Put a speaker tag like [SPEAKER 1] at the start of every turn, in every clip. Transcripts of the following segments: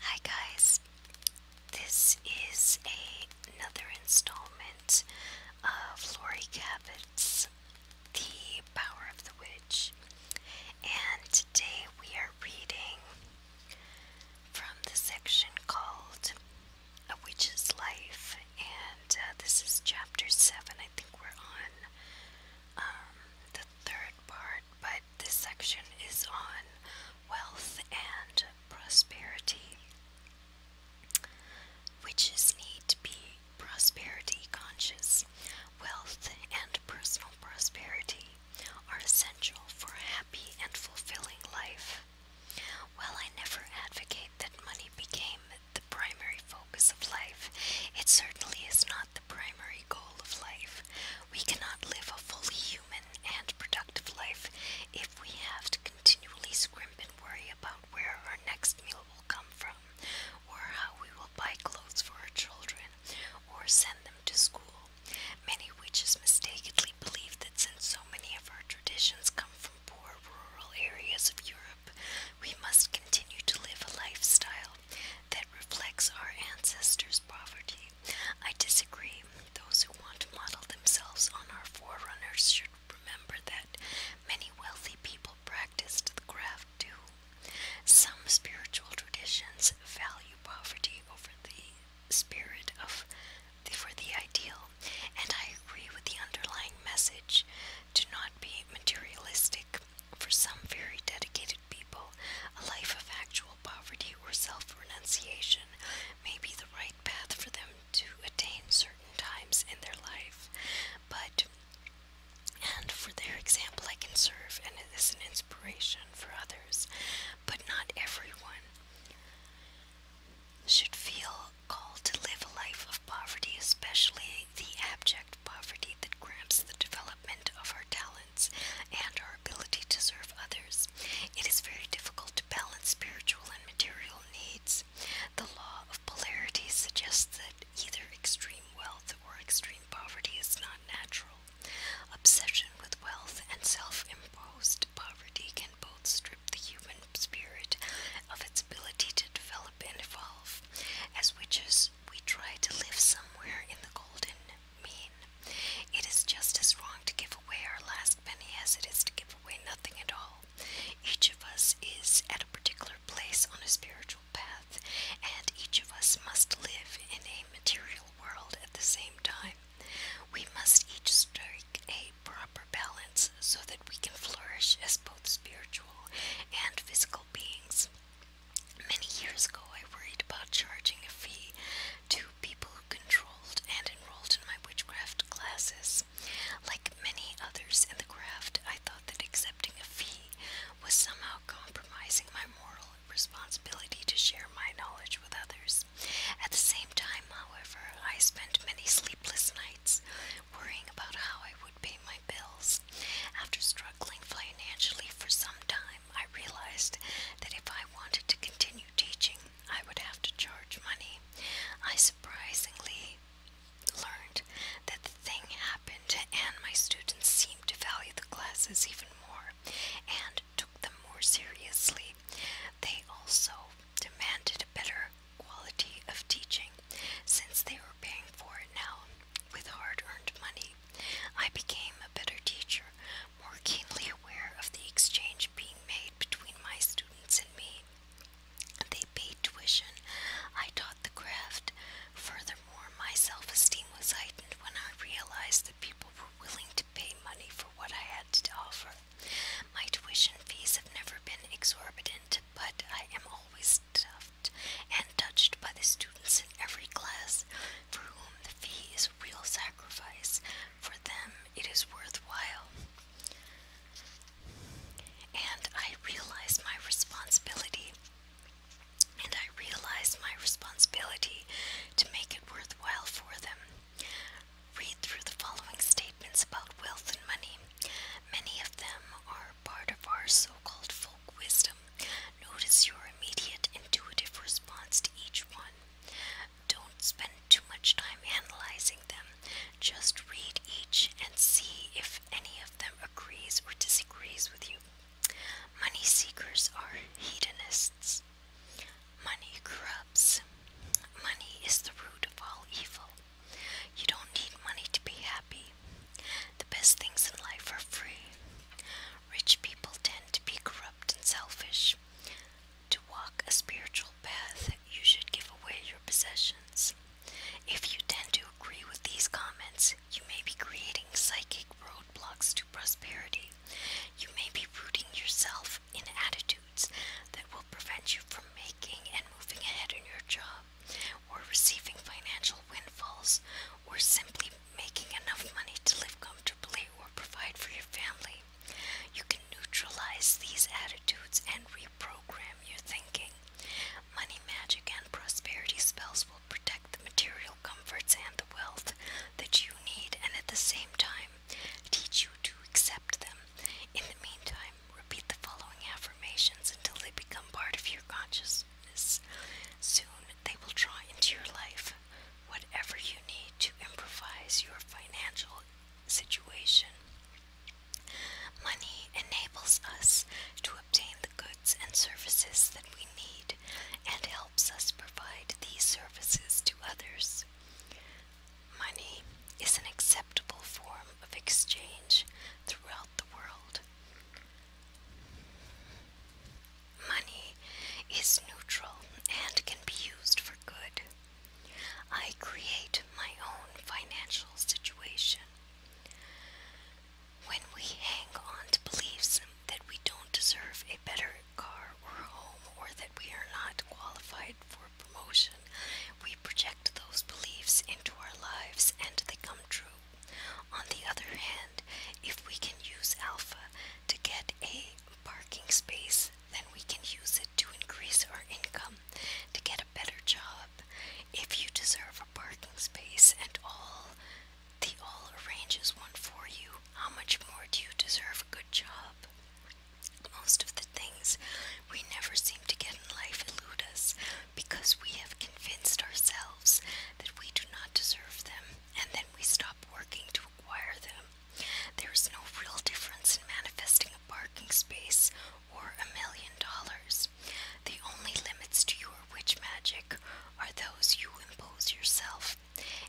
[SPEAKER 1] Hi guys, this is another installment of Lori Cabot's The Power of the Witch, and today we are reading from the section called A Witch's Life, and uh, this is chapter 7. I think we're on um, the third part, but this section is on wealth and prosperity, witches need to be prosperity conscious. Wealth and personal prosperity are essential for a happy and fulfilling life. While I never advocate that money became the primary focus of life, it certainly is not the primary goal of life. We cannot live a fully human and productive life if we have to continually scrimp and worry about where our next meal will come from, or how we will buy clothes for our children, or send them to school. Many witches mistakenly believe that since so many of our traditions come from poor rural areas of Europe, we must continue to live a lifestyle that reflects our ancestors' poverty. I disagree. Those who want to model themselves on our forerunners should remember that many wealthy people practiced the craft too. Some spiritual traditions value poverty over the spirit of the, for the ideal, and I agree with the underlying message to not be materialistic. For some very dedicated people, a life of actual poverty or self renunciation may be the right path for them to attain certain times in their life. But, and for their example, I can serve and it is an inspiration for others, but not everyone should feel called to live a life of poverty, especially the abject poverty that cramps the development of our talents and our ability to serve others. It is very difficult to balance spiritual and material needs. The law of polarity suggests that either extreme wealth or extreme poverty is not natural. Obsession with wealth and self imposed poverty can both strip the human spirit of its ability to develop and evolve. As witches we try to live somewhere in the golden mean. It is just as wrong to give away our last penny as it is to give away nothing at all. Each of us is at a particular place on a spiritual path, and each of us must live in a material world at the same time. We must each strike a proper balance so that we can flourish as both spiritual and physical beings. Many years ago, I worried about charging a fee to people who controlled and enrolled in my witchcraft classes. Like many others in the craft, I thought that accepting a fee was somehow compromising my moral responsibility to share my knowledge with others. At the same time, however, I spent many sleepless nights worrying about how I would pay my bills. After struggling financially for some time, I realized that if I wanted to continue teaching, I would have to charge money. I surprisingly learned that the thing happened, and my students seemed to value the classes even more and took them more seriously. They also demanded a better quality of teaching. Since they were paying for it now, with hard earned money, I became a better teacher, more keenly aware of the exchange being made between my students and me. They paid tuition, I taught the craft. Furthermore, my self esteem was heightened when I realized that people were willing to pay money for what I had to offer. My tuition fees have never been exorbitant, but I am always tough and touched by the students in every class, for whom the fee is a real sacrifice. For them, it is worthwhile. And I realize my responsibility. And I realize my responsibility to make it worthwhile for them. Read through the following statements about wealth and money. Many of them are part of our so called folk wisdom, notice your immediate intuitive response to each one. Don't spend too much time analyzing them, just read each and see if any of them agrees or disagrees with you. Money seekers are hedonists. Money corrupts. Money is the root of all evil. You don't need money to be happy. The best things in life are free. Rich people tend to be corrupt and selfish. To walk a spiritual path, you should give away your possessions. If you tend to agree with these comments, you may be creating psychic roadblocks to prosperity. You may be rooting yourself in attitudes that will prevent you from making and moving ahead in your job or receiving financial windfalls, or simply making enough money to live comfortably or provide for your family. You can neutralize these attitudes and reprogram your thinking. Money magic and prosperity spells will protect the material comforts and the wealth that you need and at the same time teach you to accept them. In the meantime, repeat the following affirmations until they become part of your conscious business. Soon they will draw into your life whatever you need to improvise your financial situation. Money enables us to obtain the goods and services that we need and helps us provide these services to others. Money is an acceptable form of exchange throughout the world. Money is neutral and can be used for good. I create my own financial situation. When we hang on to beliefs that we don't deserve a better car or home or that we are not qualified for promotion, we project those beliefs into our lives and they come true. On the other hand, if we can use alpha to get a parking space, then we can use it to increase our income, to get a better job. If you deserve a parking space and all the all arranges one for you, how much more do you deserve a good job? Most of the things we never seem to get in life elude us because we have convinced ourselves that we do not deserve them, and then we stop working to acquire them. There is no real difference in manifesting a parking space or a million dollars. The only limits to your witch magic are those you impose yourself.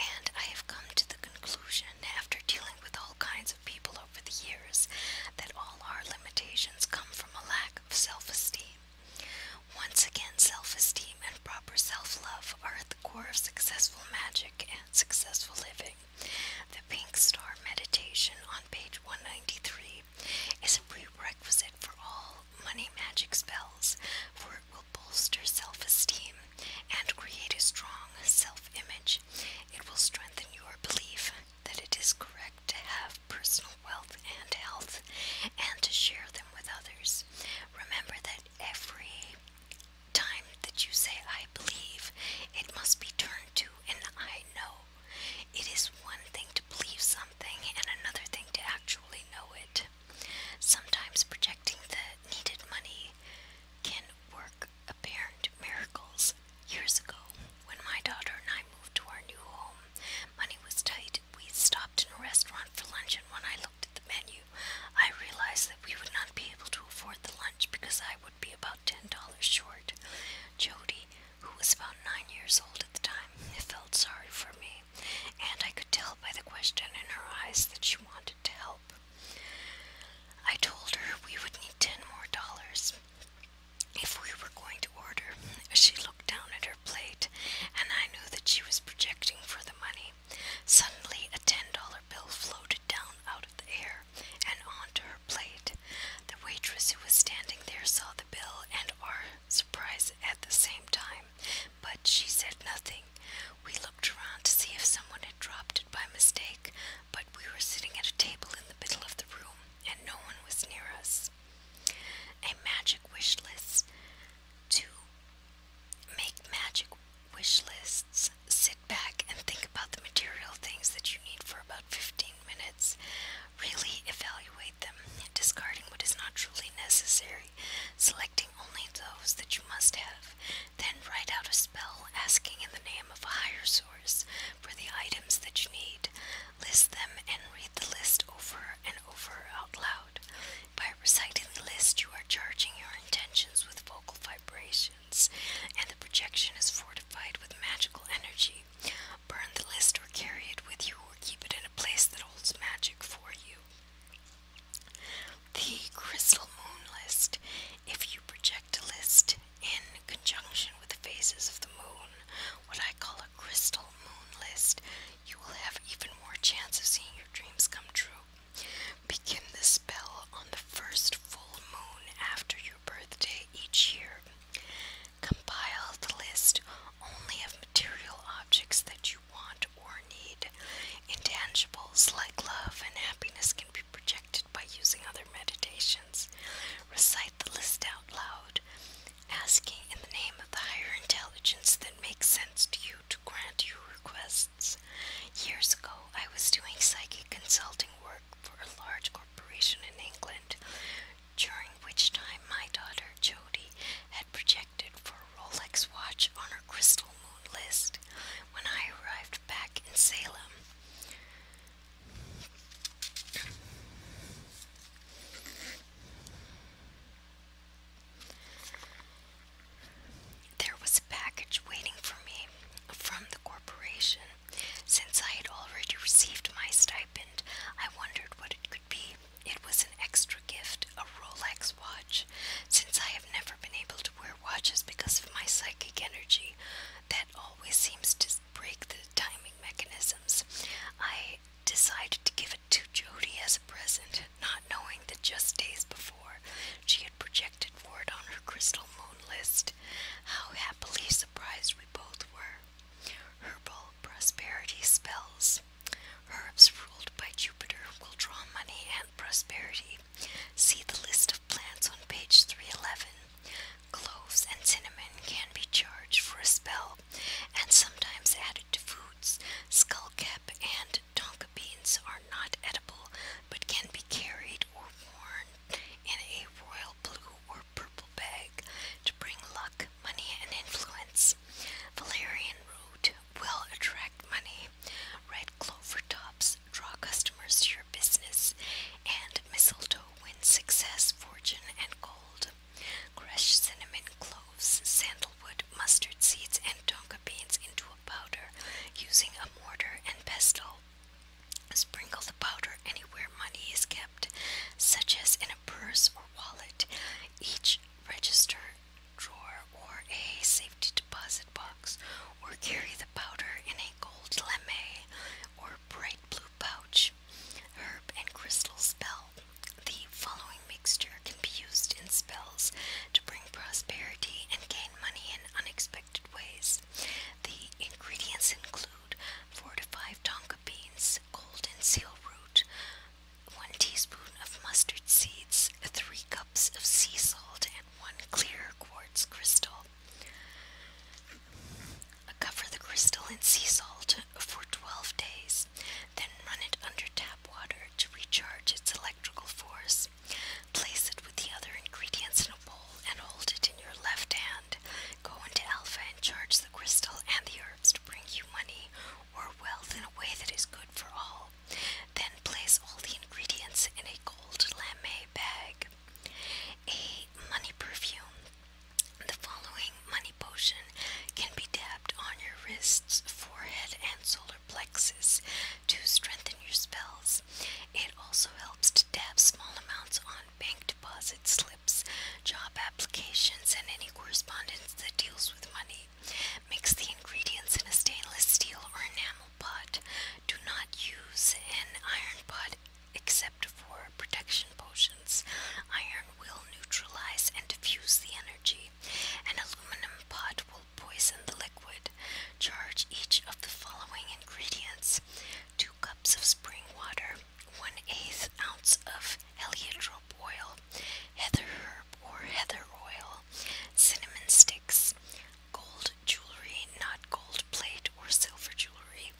[SPEAKER 1] And I have come to the conclusion, after dealing with all kinds of people over the years, that all our limitations come from a lack of self esteem. Once again, self esteem and proper self love are at the core of successful magic and successful living. The Pink Star Meditation on page 193 is a prerequisite for all money magic spells, for it will bolster self esteem and create a strong self image. It will strengthen your belief that it is correct to have personal wealth and health and to share them with others. Remember that every time that you say, I believe, it must be turned to and I know. It is one thing to believe something and another thing to actually know it. Sometimes projecting the needed money can work apparent miracles. Years ago, when my daughter and I moved to our new home, Money was tight. We stopped in a restaurant for lunch, and when I looked at the menu, I realized that we would not be able to afford the lunch because I would be about ten dollars short. Jody, who was about nine years old at the time, felt sorry for me, and I could tell by the question in her eyes that she wanted to help. I told her we would need ten more dollars if we were going to order. She looked down at her plate, and I knew that she was projecting for the money. Suddenly, a ten dollar bill floated down out of the air and onto her plate. The waitress who was standing there saw the bill and our surprise at the same time, but she said nothing. We looked around to see if someone had dropped it by mistake, but we were sitting at a table in the middle of the room, and no one was near us a magic wish list to make magic wish lists sit back and think about the material things that you need for about 15 minutes really evaluate them discarding what is not truly necessary selecting only those that you must have then write out a spell asking in the name of a higher source for the items that you need List them and read the list over and over out loud. By reciting the list, you are charging your intentions with vocal vibrations, and the projection is fortified with magical energy. Burn the list or carry it with you, or keep it in a place that holds magic for you. The Crystal Moon List. If you project a list in conjunction with the phases of the moon, what I call crystal moon list, you will have even more chance of seeing your dreams come true. Begin the spell on the first full moon after your birthday each year. Compile the list only of material objects that you want or need. Intangibles like love and happiness can be projected by using other meditations. Recite the list out loud, asking in the name of the higher intelligence that makes sense to you to grant your requests. Years ago, I was doing psychic consulting work for a large corporation in England, during which time my daughter, Jody, had projected for a Rolex watch on her crystal moon list when I arrived back in Salem. There was a package waiting for me from the corporation. Since I had already received my stipend, I wondered what it could be. It was an extra gift, a Rolex watch. Since I have never been able to wear watches because of my psychic energy, that always seems to break the timing mechanisms. I decided to give it to Jody as a present, not knowing that just days before she had projected for it on her crystal moon list. How happily surprised we both were. Herbal prosperity spells. Herbs ruled by Jupiter will draw money and prosperity. See the list of plants on page 311. Cloves and cinnamon can be charged for a spell and sometimes added to foods. Skullcap and tonka beans are not edible but can be carried or worn in a royal blue or purple bag to bring luck, money, and influence. Valerian root will attract money. Red clover tops draw customers to your business, and mistletoe wins success, fortune, and gold. Crush cinnamon, cloves, sandalwood, mustard seeds, and tonka beans into a powder using a mortar and pestle. Sprinkle the powder anywhere money is kept, such as in a purse or wallet, each register, drawer, or a safety deposit box, or carry the powder in a gold lame or bright blue pouch herb and crystal spell. The following mixture can be used in spells to bring prosperity and gain money in unexpected ways. The ingredients include 4 to 5 tonka beans, golden seal root, 1 teaspoon of mustard seeds, 3 cups of sea salt, and 1 clear quartz crystal. Cover the crystal in sea salt for 12 days, then run it under tap water to recharge its electrical force. Place it with the other ingredients in a bowl and hold it in your left hand. Go into Alpha and charge the crystal and the herbs to bring you money or wealth in a way that is good for all. Then place all the ingredients in a gold lame bag. A money perfume. The following money Potion can be dabbed on your wrists, forehead, and solar plexus to strengthen your spells. It also helps to dab small amounts on bank deposit slips, job applications, and any correspondence that deals with money. Mix the ingredients in a stainless steel or enamel pot. Do not use an iron pot Except for protection potions, iron will neutralize and diffuse the energy. An aluminum pot will poison the liquid. Charge each of the following ingredients two cups of spring water, one eighth ounce of heliotrope oil, heather herb or heather oil, cinnamon sticks, gold jewelry, not gold plate or silver jewelry,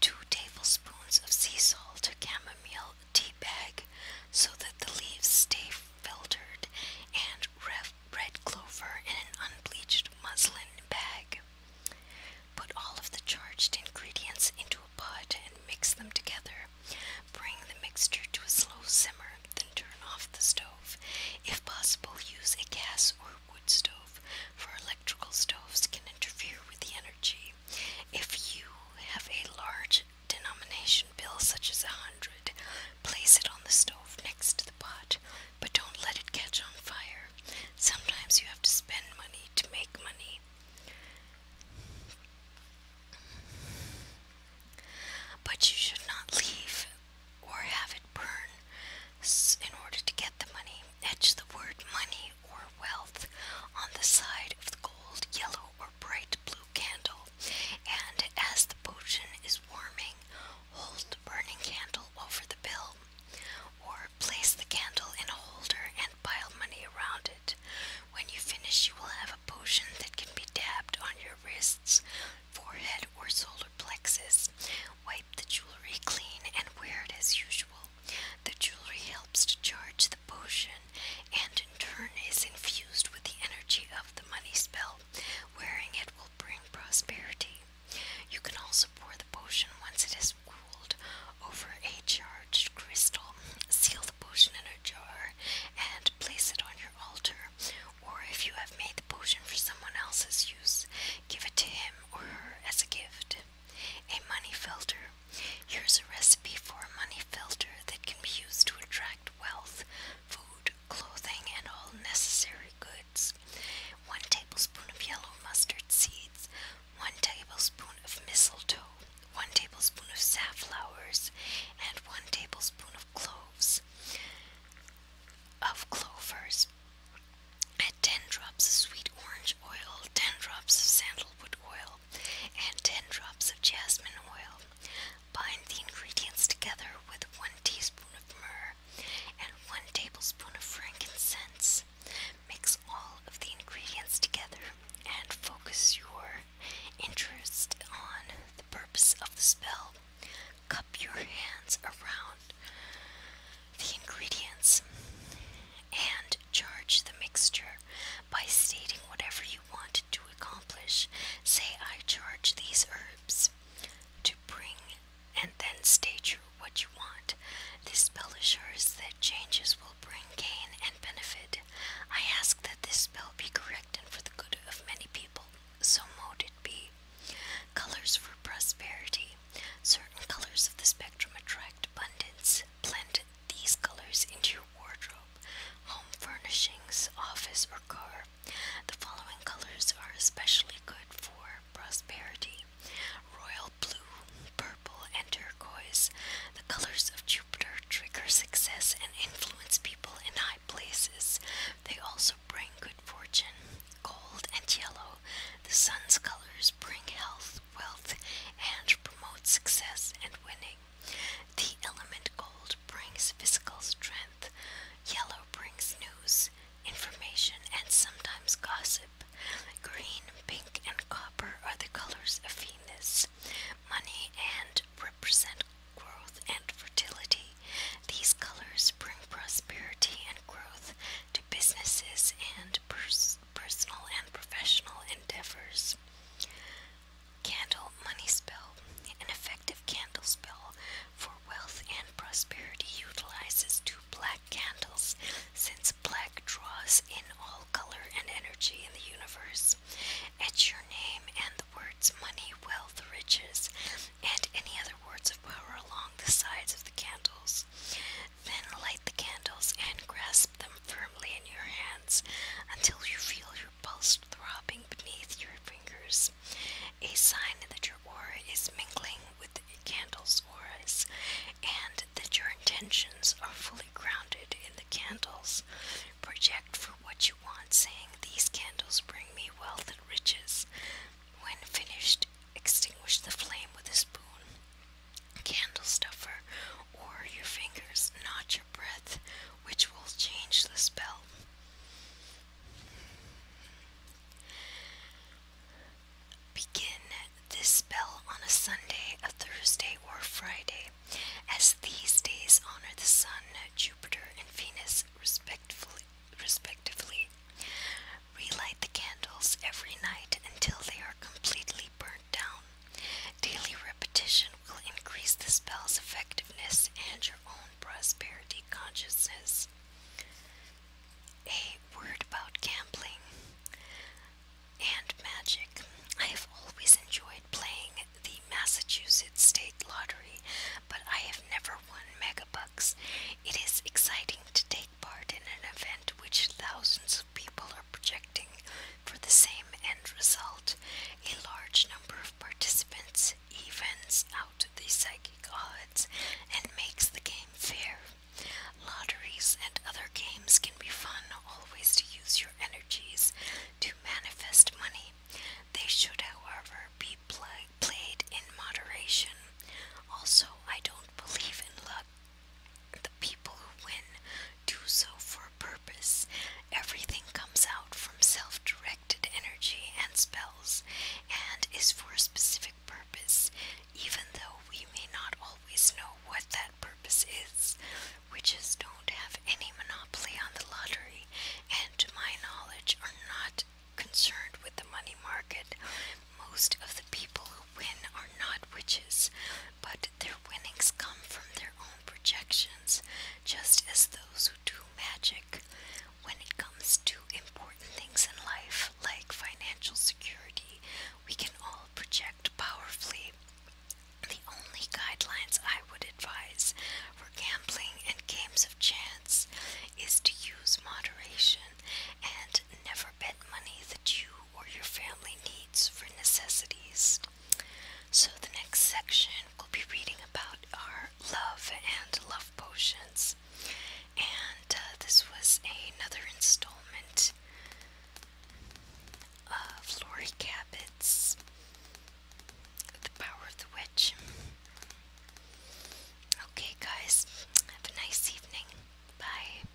[SPEAKER 1] Two tablespoons of sea salt, chamomile tea bag, so that the leaves stay filtered, and red clover in an unbleached muslin bag. Put all of the charged ingredients into a pot and mix them together. Bring the mixture to a slow simmer, then turn off the stove. If possible, use a gas or wood stove, for electrical stoves can interfere with the energy if you have a large denomination bill, such as a hundred, place it on the stove next to the pot, but don't let it catch on fire. Sometimes you have to spend money to make money. But you should not leave or have it burn in order to get the money. Etch the word money or wealth on the side of the gold, yellow, or bright blue candle, and as the potion is warming, hold the burning candle over the bill, or place the candle in a holder and pile money around it. When you finish, you will have a potion that can be dabbed on your wrists, forehead, or solar plexus. Wipe the jewelry clean and wear it as usual. The jewelry helps to charge the potion and in turn is infused with the energy of the money spell. Wearing it will bring prosperity. You can also pour the potion once it is cooled over a charged crystal. Seal the potion in a jar and place it on your altar. Or if you have made the potion for someone else's use, give it to him or her as a gift. A money filter Here's a recipe for a money filter that can be used to attract wealth, food, clothing, and all necessary goods. 1 tablespoon of yellow mustard seeds, 1 tablespoon of mistletoe, 1 tablespoon of safflowers, and 1 tablespoon of cloves. Of clovers. Add 10 drops of sweet orange oil, 10 drops of sandal sandalwood oil, and 10 drops of jasmine oil. Bind the ingredients together with 1 teaspoon of myrrh and 1 tablespoon of frankincense. Mix all of the ingredients together and focus your interest on the purpose of the spell. Cup your hands around the ingredients and charge the mixture by stating whatever you want to accomplish. Say, I charge these herbs to bring, and then state what you want. This spell assures that changes will bring gain and benefit. I ask that this spell be correct and for the good of many people. So mote it be. Colors for prosperity. Certain colors of the spectrum attract abundance. Blend these colors into your wardrobe, home furnishings, office, or car. The following colors are especially good for prosperity royal blue, purple, and turquoise. The colors of Jupiter trigger success and influence people in high places. They also bring good fortune. Gold and yellow. The sun's colors bring health wealth, and promotes success and winning. The element gold brings physical strength, yellow brings news, information, and sometimes gossip. Green, pink, and copper are the colors of Venus. Money and represent growth and fertility. These colors bring prosperity and growth to businesses and pers personal and professional endeavors. Candle money spell. An effective candle spell for wealth and prosperity utilizes two black candles since black draws in all color and energy in the universe. Etch your name and the words money, wealth, riches, and any other words of power along the sides of the candles. Then light the candles and grasp them firmly in your hands until you feel your pulse throbbing beneath your fingers. A sign that your aura is mingling with your candle's auras and that your intentions are fully grounded in the candles. Project for what you want, saying, These candles bring me wealth and riches. When finished, extinguish the flame with a spoon candle stuffer, or your fingers, not your breath, which will change the spell. Begin this spell on a Sunday, a Thursday, or Friday, as these days honor the Sun, Jupiter, and Venus respectively. Relight the candles every night until they are completely burnt Daily repetition will increase the spell's effectiveness and your own prosperity consciousness. A word about gambling and magic. I have always enjoyed playing the Massachusetts State Lottery, but I have never won megabucks. It is exciting to take part in an event which thousands of people are projected for the same end result, a large number of participants evens out the psychic odds and makes the game fair. Lotteries and other games can be fun, always to use your energies to manifest money. They should, however, be played in moderation. Also, I don't believe in luck the people who win do so for a purpose. Everything comes out from self directed energy and spells and is for a specific purpose, even though we may not always know what that purpose is. Witches don't have any monopoly on the lottery, and to my knowledge, are not concerned with the money market. Most of the people win are not witches, but their winnings come from their own projections, just as those who do magic. When it comes to important things in life, like financial security, we can all project powerfully. The only guidelines I would advise for gambling and games of chance is to use moderation and never forbid money that you or your family needs for necessities. So, the next section we'll be reading about are love and love potions. And uh, this was another installment of Lori Cabot's The Power of the Witch. Okay, guys, have a nice evening. Bye.